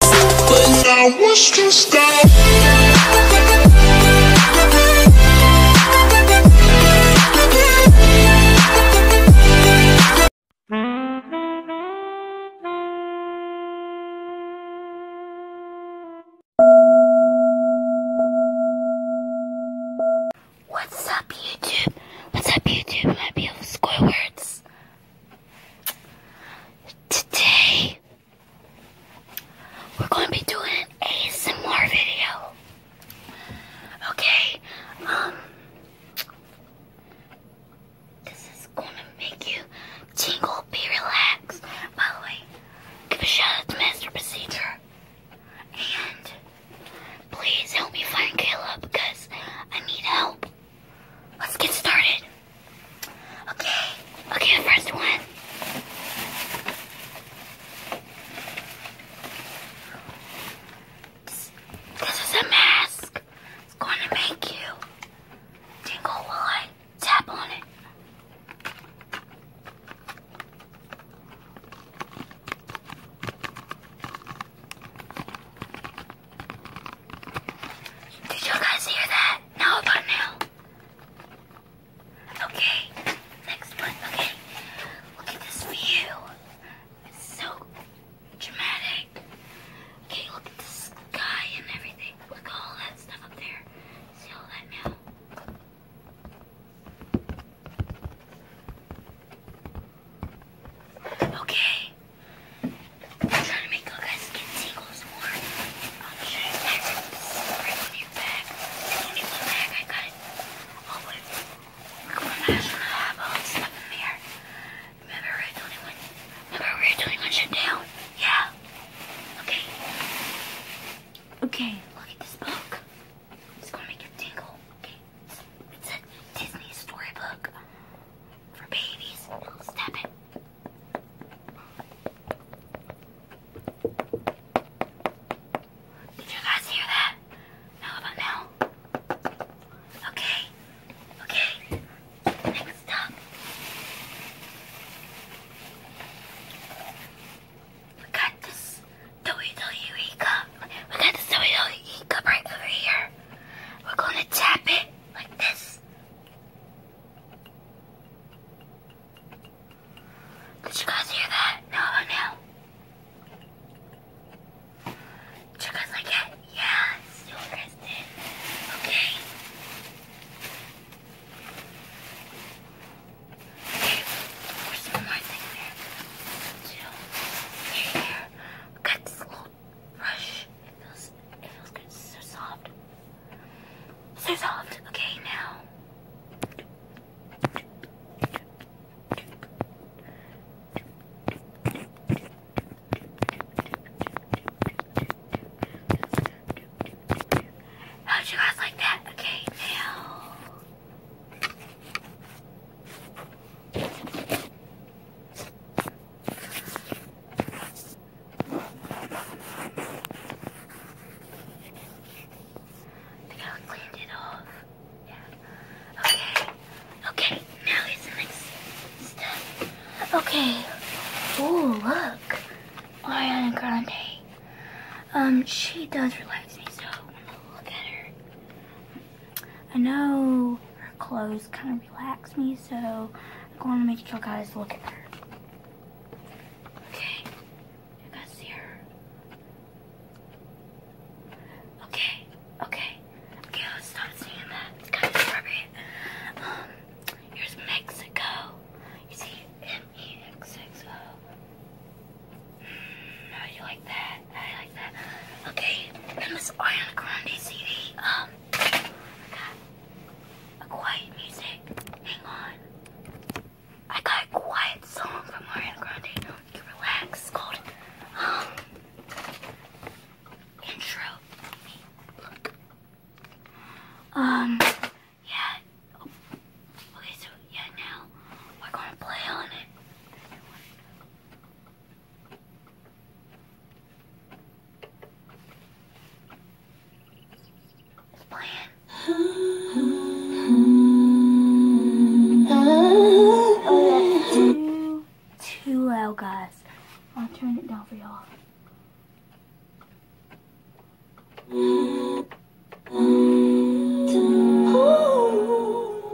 What's up, YouTube? What's up, YouTube, my beautiful Squidwards? Today, we're going to be doing an ASMR video. Okay, um, this is going to make you jingle. be relaxed. By the way, give a shout out to Master Procedure. And please help me find Caleb because I need help. Let's get started. Okay. Okay, the first one. This, is a mask. It's going to make you tingle while tap on it. Did you guys hear that? Now about now. Okay, next one. Okay, look at this view. It's so dramatic. Okay, look at the sky and everything. Look at all that stuff up there. See all that now? Okay, I'm trying to make you guys get seagulls more. I'll show you that. Bring a new bag. There's only one bag I got. I'll put it. Oh, have all this stuff in there. Remember Red 21? Remember Red 21 shut down? Yeah. Okay. Okay, look at this book. It's gonna make you tingle. Okay. It's a Disney storybook for babies. Step it. Did you guys hear that? No, about now. Okay. Okay. Next up. We got this WWE cup. We got this WWE cup right over here. We're gonna tap it like this. Did you guys hear that? No, oh, no. Did you guys like it? Yes, Okay. Okay, there's more things Two, here. Got this little Fresh. It feels, it feels good. so soft. So soft. Okay, now. How'd you guys like that? Okay, now. I think cleaned it off. Yeah. Okay. Okay. Now here's the Okay. Oh, look. Ariana Grande. Um, she does relax me, so I'm gonna look at her. I know her clothes kind of relax me, so I'm going to make you guys look at her. Okay, you guys see her? Okay, okay, okay, let's stop seeing that. It's kind of appropriate. Um, here's Mexico. You see, M E X O. How oh, like that? How like that? Okay, in this um, a quiet music. Hang on. I got a quiet song from Ariana Grande. You relax. called, um, um, yeah. Okay, so yeah, now we're gonna play on it too, loud, guys. I'll turn it down for y'all.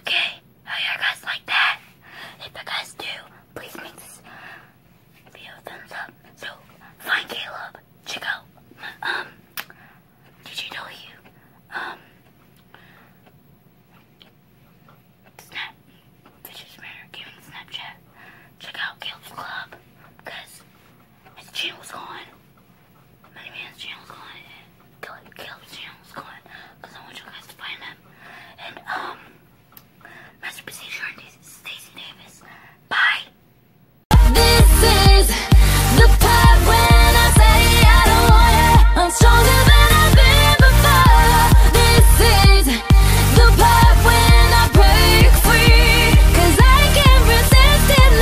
Okay, how oh, you guys like that? If you guys do, please make this video a thumbs up. So, find Caleb, check out, um, DJW, um, Snap, Fishers Matter Gaming Snapchat, check out Caleb's Club, because his channel's gone. Many Man's channel's gone. Caleb, Caleb's channel's gone. Because I want you guys to find him. And, um, Master Procedure and Stacey Davis. Bye. This is the part when I say I don't want it. I'm stronger than I've been before. This is the part when I break free. Cause I can't resist it.